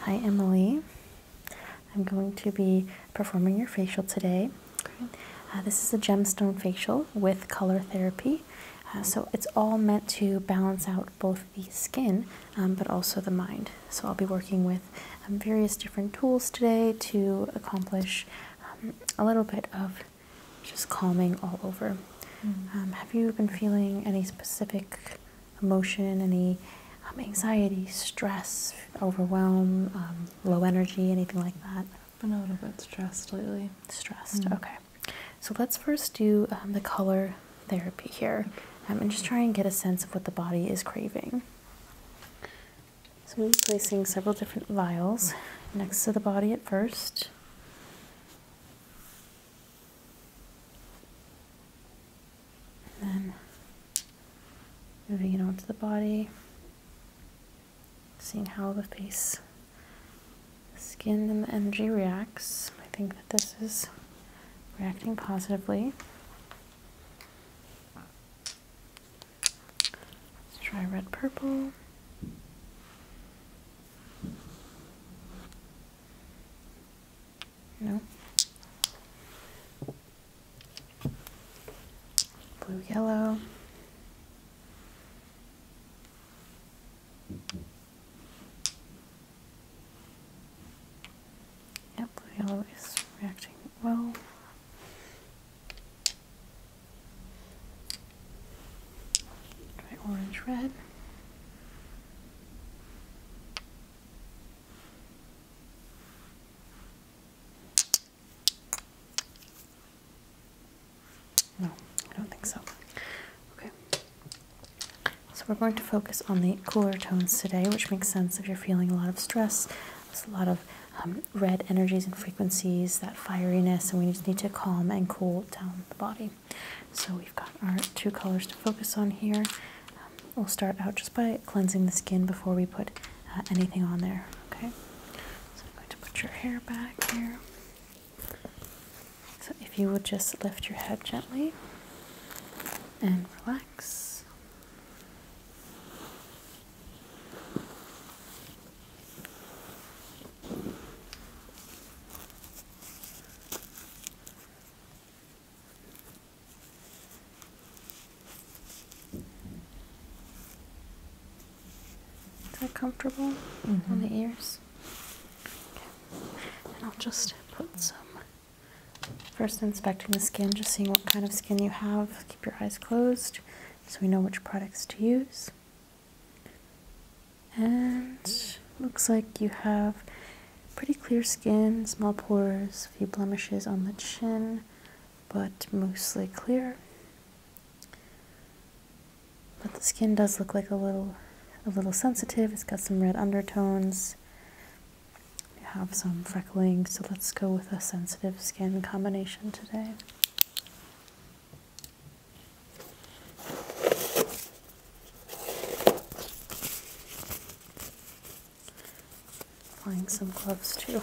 Hi, Emily. I'm going to be performing your facial today. Uh, this is a gemstone facial with color therapy. Uh, so it's all meant to balance out both the skin um, but also the mind. So I'll be working with um, various different tools today to accomplish um, a little bit of just calming all over. Mm-hmm. Um, have you been feeling any specific emotion, any um, anxiety, stress, overwhelm, um, low energy, anything like that? i been a little bit stressed lately. Stressed, mm-hmm. okay. So let's first do the color therapy here and just try and get a sense of what the body is craving. So I'm placing several different vials next to the body at first then moving it onto the body, seeing how the face, skin, and the energy reacts. I think that this is reacting positively. Let's try red purple. No. Blue yellow. Yep, blue yellow is reacting well. Right, orange red. No, I don't think so. Okay. So we're going to focus on the cooler tones today, which makes sense if you're feeling a lot of stress. There's a lot of um, red energies and frequencies that that fieriness, and we just need to calm and cool down the body. So we've got our two colors to focus on here. Um, we'll start out just by cleansing the skin before we put uh, anything on there. Okay, so I'm going to put your hair back here. So if you would just lift your head gently and relax. Is that comfortable on the ears? And I'll just put some first inspecting the skin, just seeing what kind of skin you have. Keep your eyes closed so we know which products to use. And looks like you have pretty clear skin, small pores, few blemishes on the chin, but mostly clear. But the skin does look like a little a little sensitive. It's got some red undertones. You have some freckling, so let's go with a sensitive skin combination today. Applying some gloves to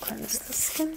cleanse the skin.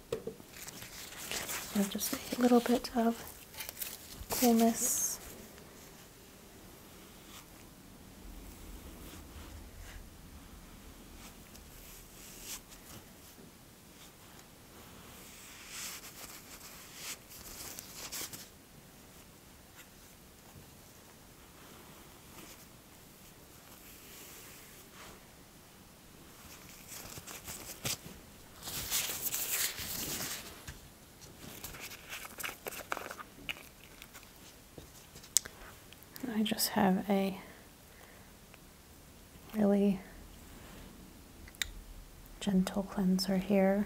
just a little bit of coolness. I just have a really gentle cleanser here.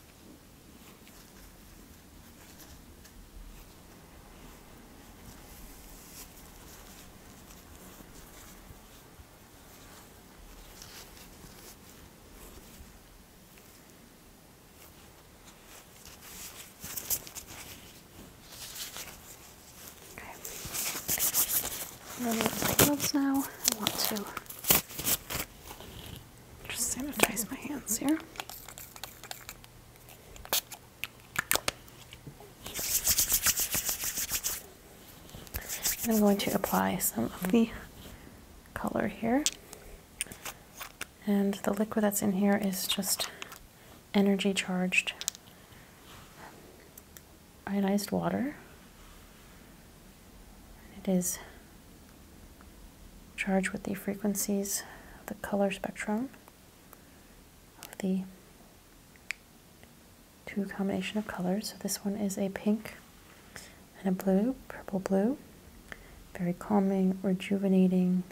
Okay. I'm going to use my gloves now. I want to just sanitize my hands here. I'm going to apply some of the color here. And the liquid that's in here is just energy charged ionized water. It is charged with the frequencies of the color spectrum of the two combination of colors. So this one is a pink and a blue, purple blue. Very calming, rejuvenating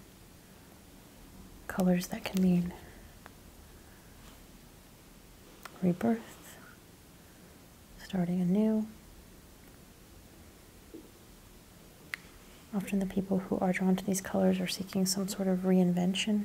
colors that can mean rebirth, starting anew. Often the people who are drawn to these colors are seeking some sort of reinvention.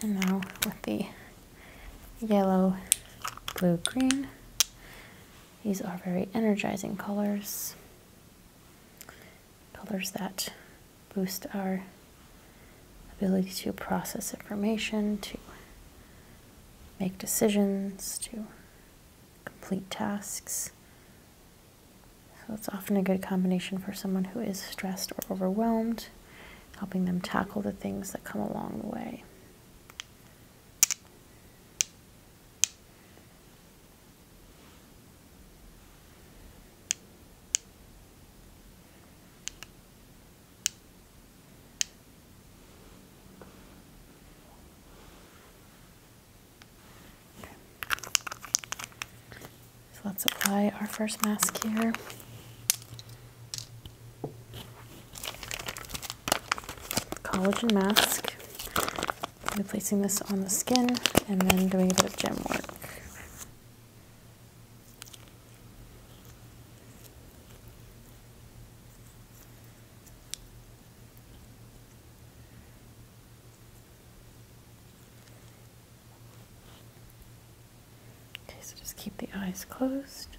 And now with the yellow, blue, green, these are very energizing colors, colors that boost our ability to process information, to make decisions, to complete tasks. So it's often a good combination for someone who is stressed or overwhelmed helping them tackle the things that come along the way. So let's apply our first mask here collagen mask. I'm placing this on the skin and then doing a bit of gem work. Okay, so just keep the eyes closed.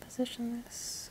Position this.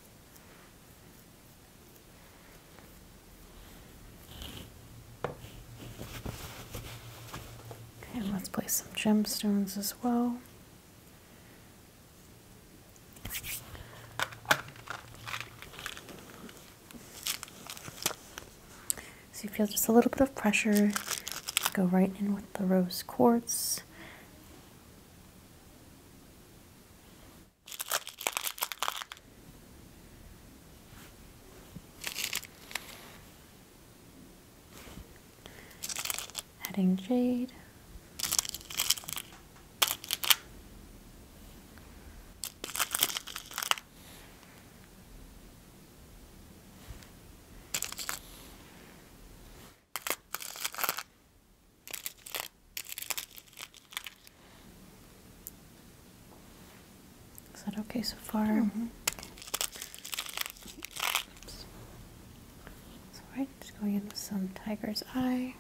and let's place some gemstones as well. So you feel just a little bit of pressure. Go right in with the rose quartz. Adding jade. Is that okay so far? Mm just going in with some tiger's eye.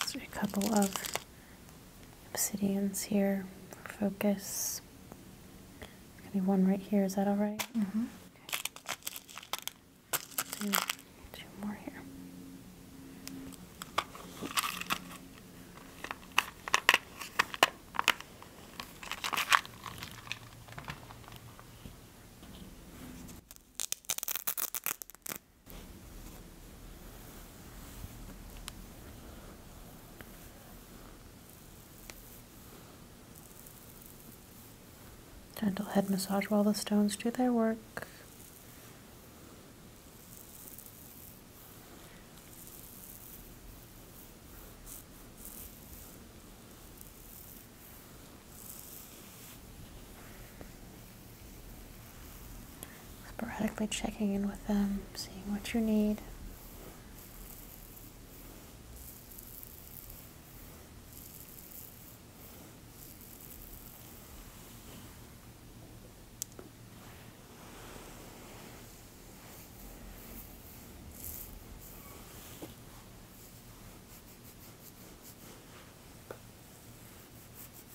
Just a couple of obsidians here for focus. There's gonna one right here. Is that all Mm-hmm. Two, two more here. Gentle head massage while the stones do their work sporadically checking in with them, seeing what you need.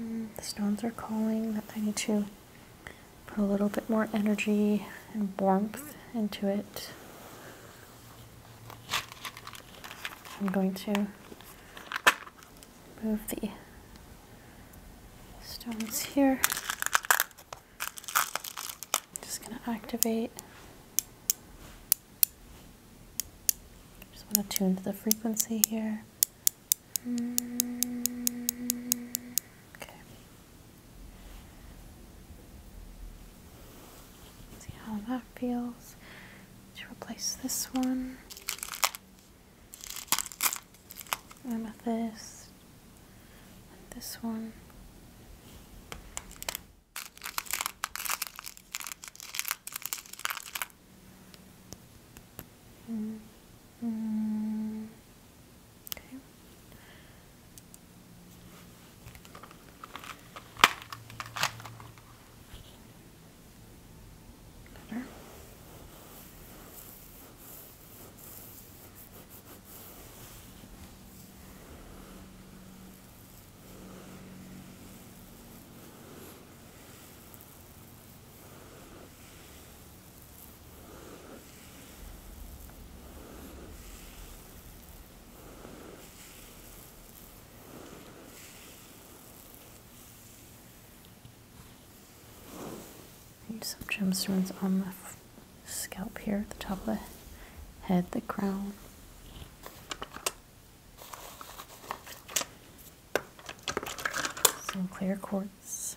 Mm, the stones are calling that I need to put a little bit more energy and warmth into it. I'm going to move the stones here. Just going to activate just want to tune to the frequency here. Okay. See how that feels. To replace this one. Amethyst. And this one. Mm -hmm. Okay. Better some gemstones on the scalp here, at the top of the head, the crown. Some clear quartz.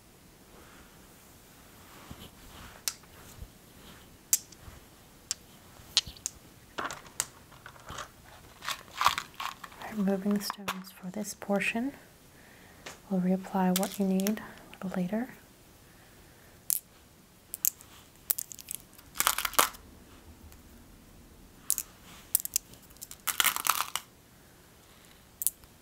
Removing the stones for this portion. We'll reapply what you need a little later.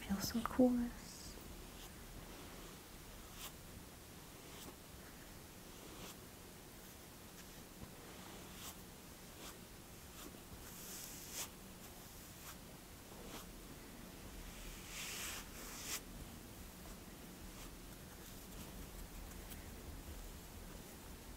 Feel some coolness.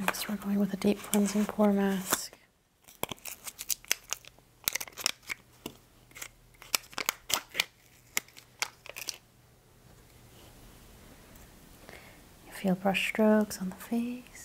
Next, we're going with a deep cleansing pore mask. You feel brushstrokes on the face.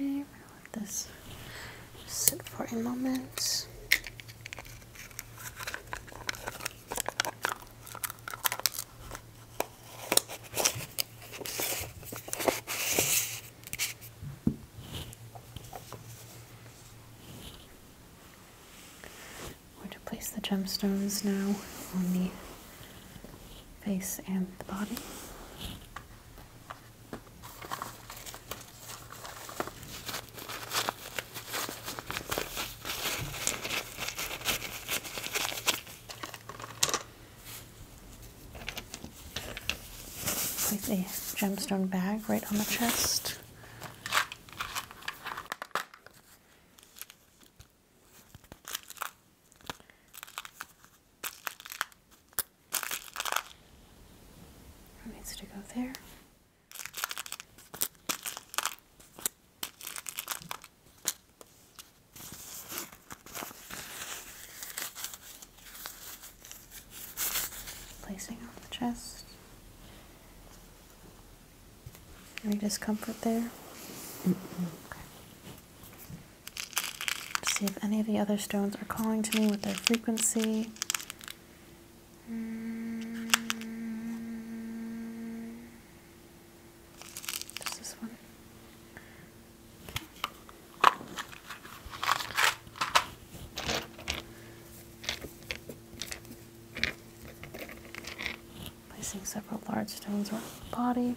Okay, let this sit for a moment. We're to place the gemstones now on the face and the body with a gemstone bag right on the chest. needs to go there. Placing on the chest. Any discomfort there? see if any of the other stones are calling to me with their frequency. Hmm. Placing several large stones around the body.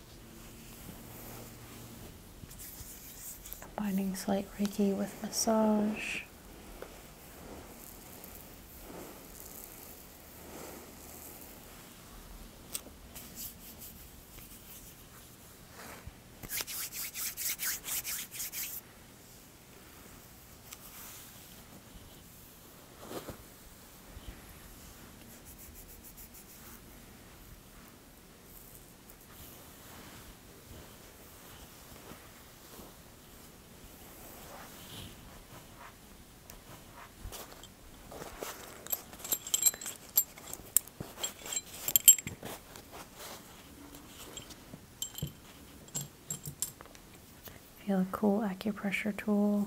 Combining slight Reiki with massage. Feel a cool acupressure tool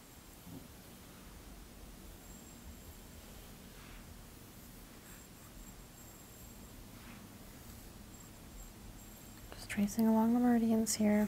Just tracing along the meridians here.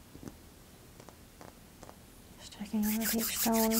Just checking all the deep stone.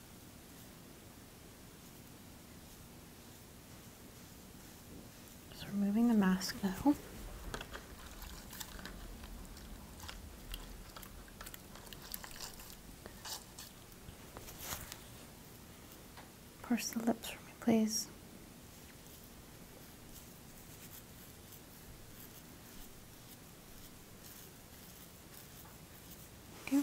So removing the mask now. Purse the lips for me, please. Okay.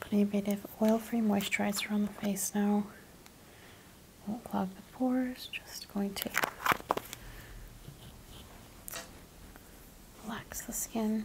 Putting a bit of oil-free moisturizer on the face now. Won't clog the pores, just going to relax the skin.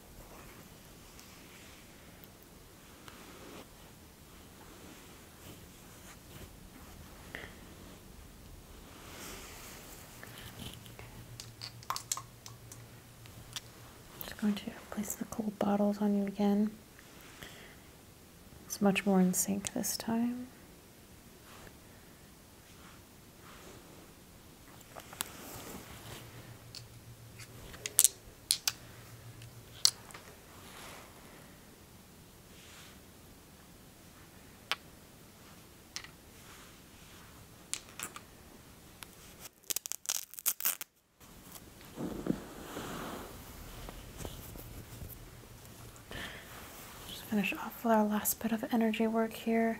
I'm Just going to place the cold bottles on you again. It's much more in sync this time. Just finish off with our last bit of energy work here.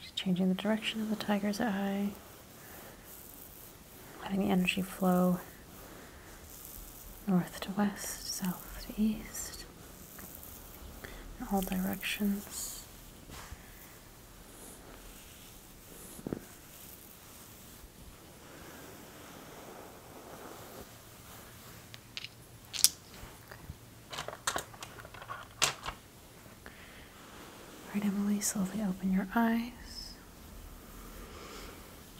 She's changing the direction of the tiger's eye, letting the energy flow north to west, south to east, in all directions. Okay. Emily, slowly open your eyes.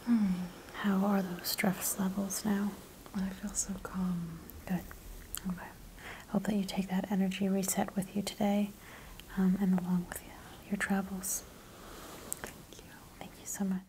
Hmm, how are those stress levels now? I feel so calm. Good. Okay. Hope that you take that energy reset with you today um, and along with your travels. Thank you. Thank you so much.